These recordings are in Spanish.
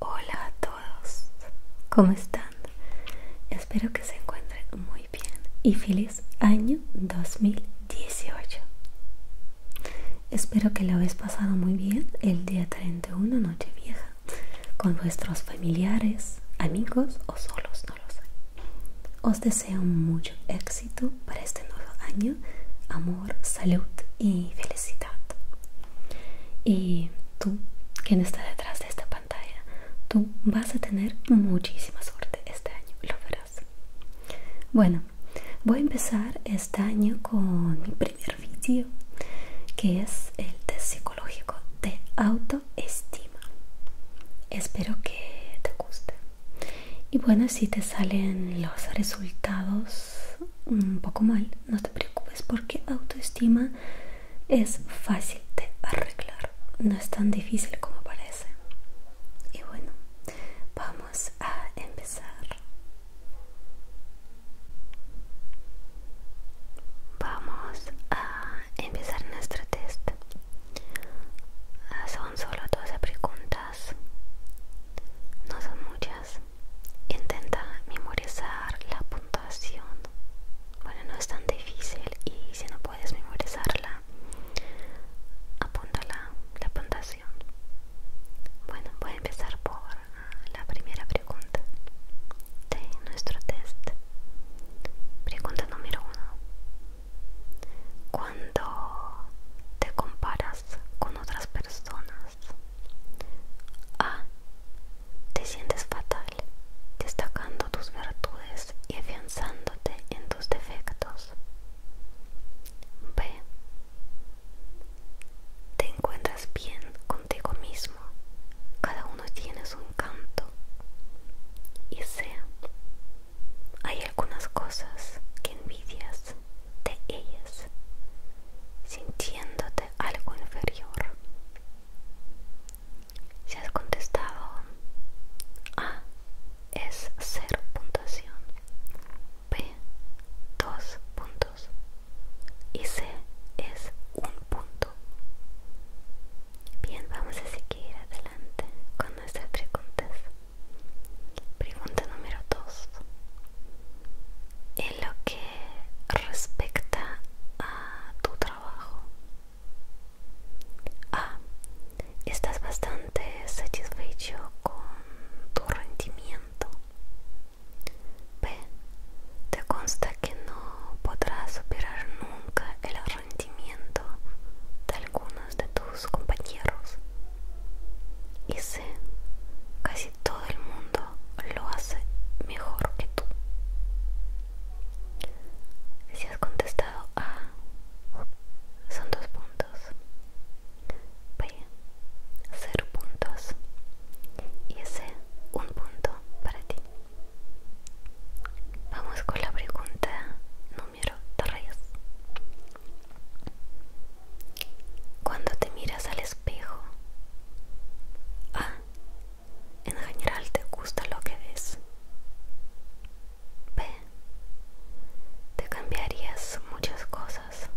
Hola a todos, ¿cómo están? Espero que se encuentren muy bien y feliz año 2018. Espero que lo habéis pasado muy bien el día 31 noche vieja con vuestros familiares, amigos o solos, no lo sé. Os deseo mucho éxito para este nuevo año, amor salud y felicidad. Y tú, quien está detrás de esta pantalla, tú vas a tener muchísima suerte este año, lo verás. Bueno, voy a empezar este año con mi primer vídeo, que es el test psicológico de autoestima. Espero que te guste. Y bueno, si te salen los resultados un poco mal, no te preocupes porque autoestima es fácil de arreglar, no es tan difícil como parece. Y bueno, vamos a empezar. Vamos a empezar nuestro test. Ah, son solo 12 preguntas, no son muchas intenta memorizar la puntuación. Bueno, no es tan difícil y si no puedes memorizarla, apunta la puntuación. Bueno, voy a empezar por ah, la primera pregunta de nuestro test. Pregunta número uno. Cuando te comparas con otras personas, a. Ah, te sientes fatal, destacando tus virtudes y afianzándote en tus defectos. B. Te encuentras bien contigo mismo. Cada uno tiene su encanto. Y C. Hay algunas cosas que envidias de ellas, sintiéndote algo inferior. Si has contestado A es 0 puntuación, B 2 puntos y C es un punto. Bien, vamos a seguir adelante con nuestras preguntas. Pregunta número 2 en lo que respecta a tu trabajo. A. Ah, estás bastante satisfecho con tu rendimiento. B, te consta que no podrás superar nunca el rendimiento de algunos de tus compañeros. Y sé, casi todo el mundo lo hace mejor que tú. Si has contestado A, son dos puntos. B, cero puntos. Y ese un punto para ti. Vamos con la pregunta número 3. Cuando te miras al espejo. A. Ah, en general te gusta lo que ves. B. Te cambiarías muchas cosas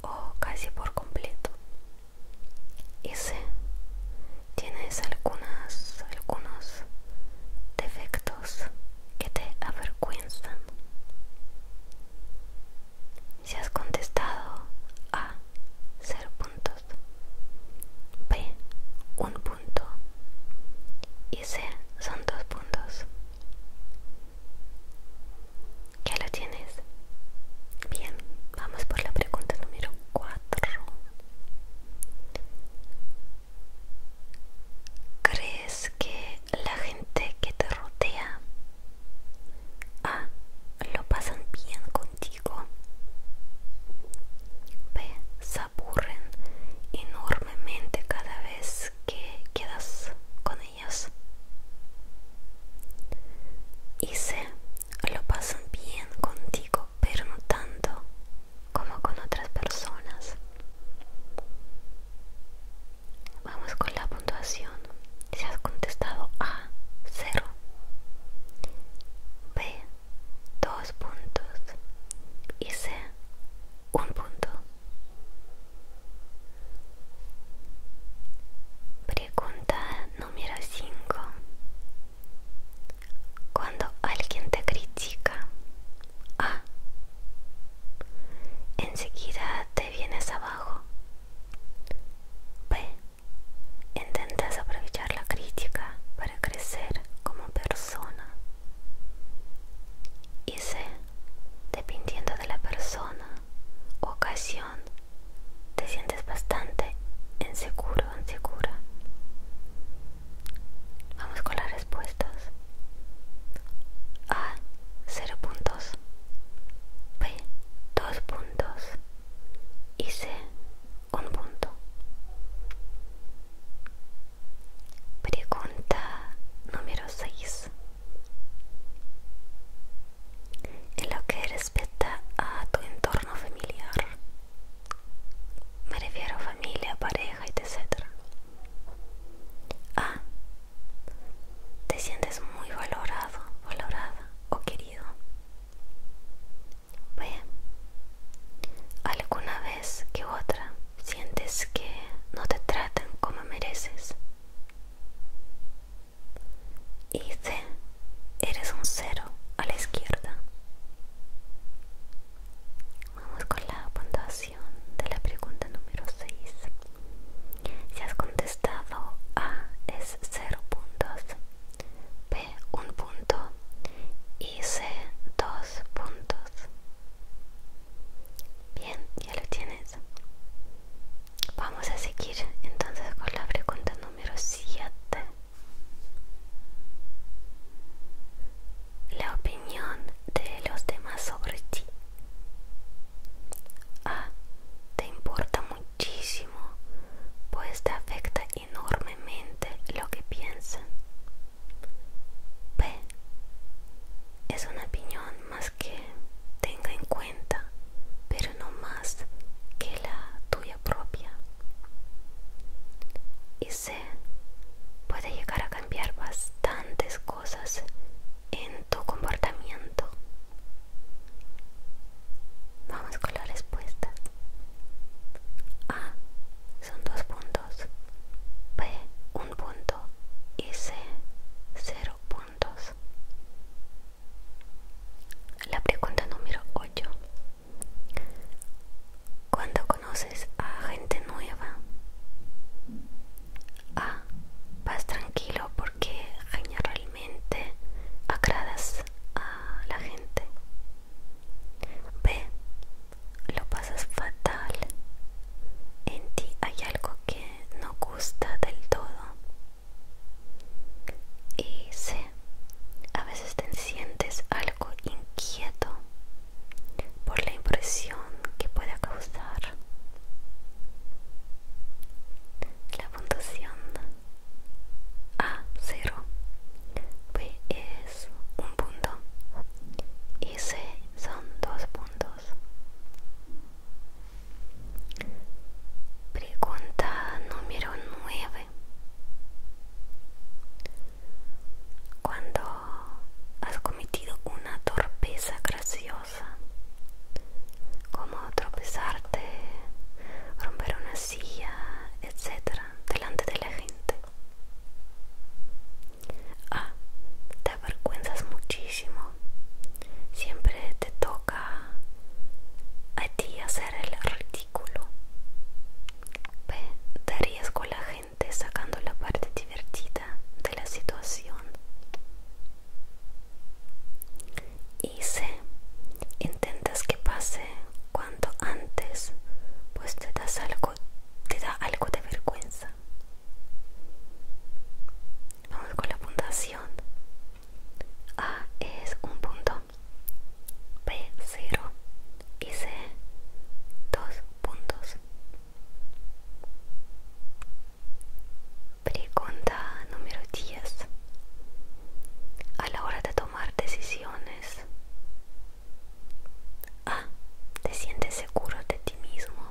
o casi por completo. Y C. Tienes algunas, algunos defectos que te avergüenzan. Si has contestado A, cero puntos, B, un punto y C, son dos puntos. ¿Ya lo tienes? Bien, vamos por la pregunta número 4. ¿Crees que la gente que te rodea A. Ah, lo pasan bien contigo B. Se aburren enormemente cada vez que quedas con ellos y C. Lo pasan bien contigo pero no tanto como con otras personas Vamos con la puntuación. Si has contestado A, 0. B, dos puntos. Y C, un punto. Pregunta número 5. Cuando alguien te critica, A, Enseguida te vienes abajo. B. intentas aprovechar la crítica para crecer como persona. Y C. dependiendo de la persona, ocasión, te sientes bastante inseguro, insegura. Vamos con las respuestas. A, 0 puntos. B, 2 puntos. Y C, 1 punto. Pregunta número 6. En lo que respecta a tu entorno familiar, me refiero a familia, pareja, etc. A, te sientes muy valorado, valorada o querido. alguna vez que otra sientes que no te tratan como mereces. Y C, eres un cero a la izquierda. Vamos con la así de la pregunta número 6. Si has contestado A es 0 puntos, B 1 punto y C 2 puntos. Bien, ya lo tienes. Vamos a seguir entonces con la pregunta número 7. La opinión de los demás sobre ti. A. Ah, te importa muchísimo, pues te afecta enormemente lo que piensan. B. Es una opinión más que tenga en cuenta, pero no más que la tuya propia. Y C. Puede llegar a cambiar bastantes cosas en tu comportamiento. Vamos con la respuesta. A son dos puntos. B un punto. Y C cero puntos. La pregunta número 8. Cuando conoces a gente nueva, a ah, vas tranquilo porque generalmente agradas a la gente. B lo pasas fatal. En ti hay algo que no gusta del todo. Y C a veces te sientes algo inquieto por la impresión que pueda causar. La puntuación a cero B es un punto y C son dos puntos. Pregunta número 9. Cuando has cometido una torpeza graciosa, como tropezarte, romper una silla, etcétera, delante de la gente. A. Ah, te avergüenzas muchísimo. Siempre te toca a ti hacer el ridículo. B. te arriesgo con la gente sacando la parte divertida de la situación. Y C. Intentas que pase cuanto antes, pues te, das algo, te da algo de vergüenza. Vamos con la puntuación. A es un punto, B 0 y C dos puntos. Pregunta número 10. A la hora de tomar decisiones, A. Ah, Te sientes seguro de ti mismo.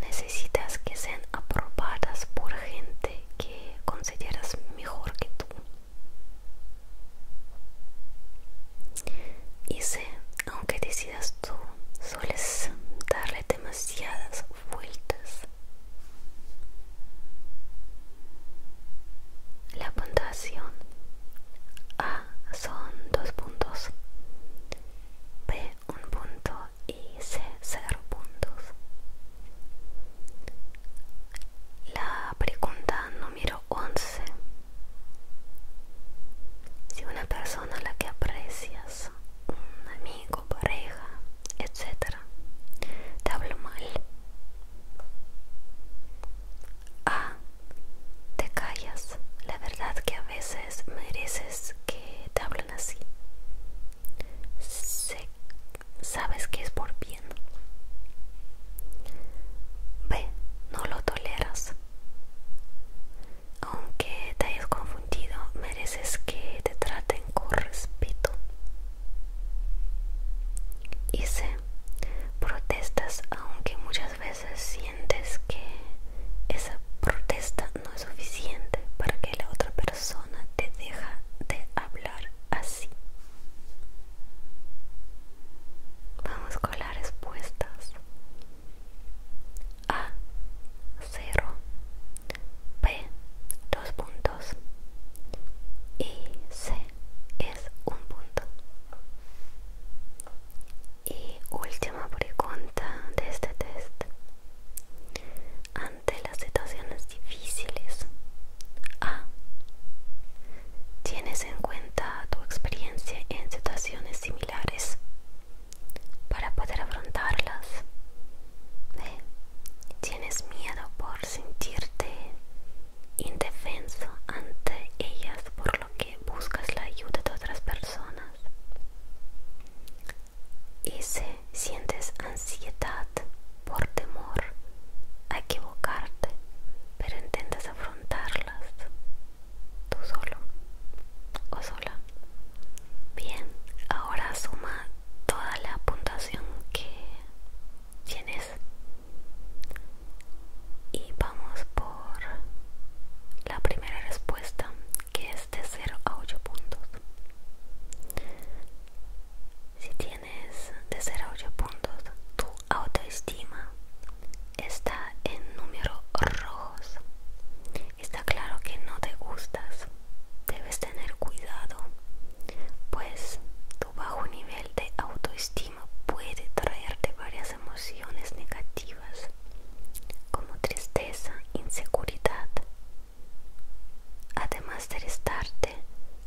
Necesitas que sean aprobadas por gente que consideras mejor que tú. Y C. aunque decidas tú, sueles darle demasiadas vueltas. La puntuación A son dos puntos, B un punto y C cero puntos. La pregunta número 11. Si una persona a la que aprecias, un amigo, pareja, etc., te habla mal, A. Te callas. La verdad que a veces mereces que te hablen así. Sé, sabes que es por bien. B. No lo toleras. Aunque te hayas confundido, mereces que te traten con respeto. Y C. Protestas aunque muchas veces sientes que esa protesta no es suficiente para que la otra persona te deja de hablar así. Vamos con las respuestas. A 0 B dos puntos y C es un punto. Y última pregunta de este test. Ante las situaciones difíciles. A tienes en cuenta tu experiencia en situaciones similares para poder afrontarlas. Tienes miedo por sentirte indefenso ante ellas, por lo que buscas la ayuda de otras personas. Y si sientes ansiedad por temor a equivocarte, pero intentas afrontarlas tú solo o sola. Bien, ahora suma toda la puntuación que tienes y vamos por la primera respuesta que es de 0 a 8 puntos. Si tienes tienes 8 puntos, tu autoestima está en números rojos. Está claro que no te gustas, debes tener cuidado, pues tu bajo nivel de autoestima puede traerte varias emociones negativas, como tristeza, inseguridad. Además de restarte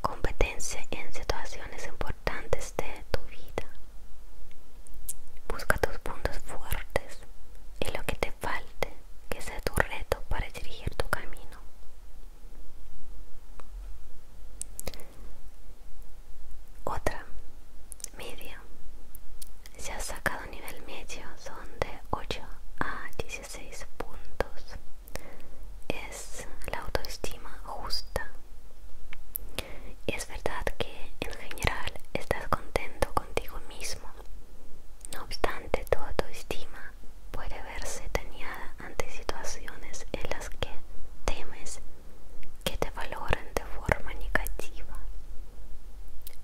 competencia en situaciones importantes de tu vida. Busca tus puntos fuertes y lo que te falte, que sea tu reto para dirigir tu camino. Otra, media. Si has sacado nivel medio son de 8 a 16 puntos es la autoestima justa. Es verdad que en general estás contento contigo mismo. No obstante, tu autoestima puede verse dañada ante situaciones en las que temes que te valoren de forma negativa.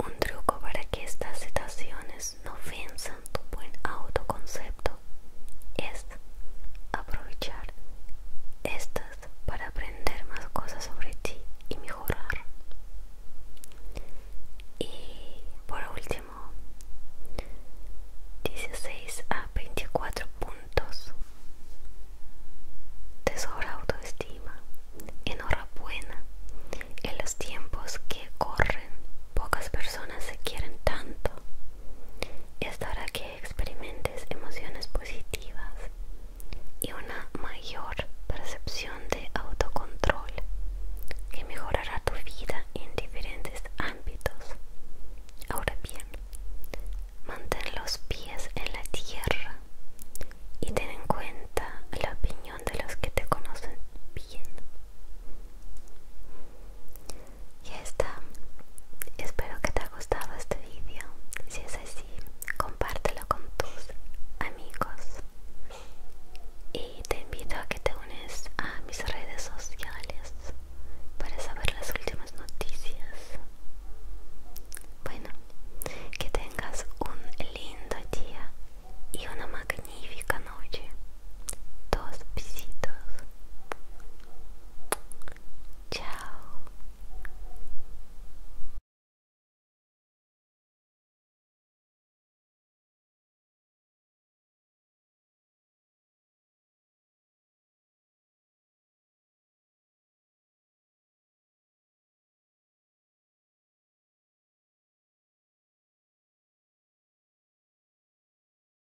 Un truco para que estas situaciones no ofensan tu buen autoconcepto es aprovechar estas para aprender más cosas sobre ti y mejorar. Y por último, 16 a 24 puntos. Te sobra autoestima. Enhorabuena. En los tiempos que corren, pocas personas se quieren tanto. Esto hará que experimentes emociones positivas y una mayor percepción de autocontrol que mejorará tu vida en diferentes ámbitos. Ahora bien, mantén los pies en la tierra y ten en cuenta la opinión de los que te conocen bien ya está. Espero que te haya gustado este vídeo. Si es así, compártelo con tus amigos. Y te invito a que te unes a mis redes sociales para saber las últimas noticias. Bueno, que tengas un lindo día y una magnífica noche dos besitos Chao.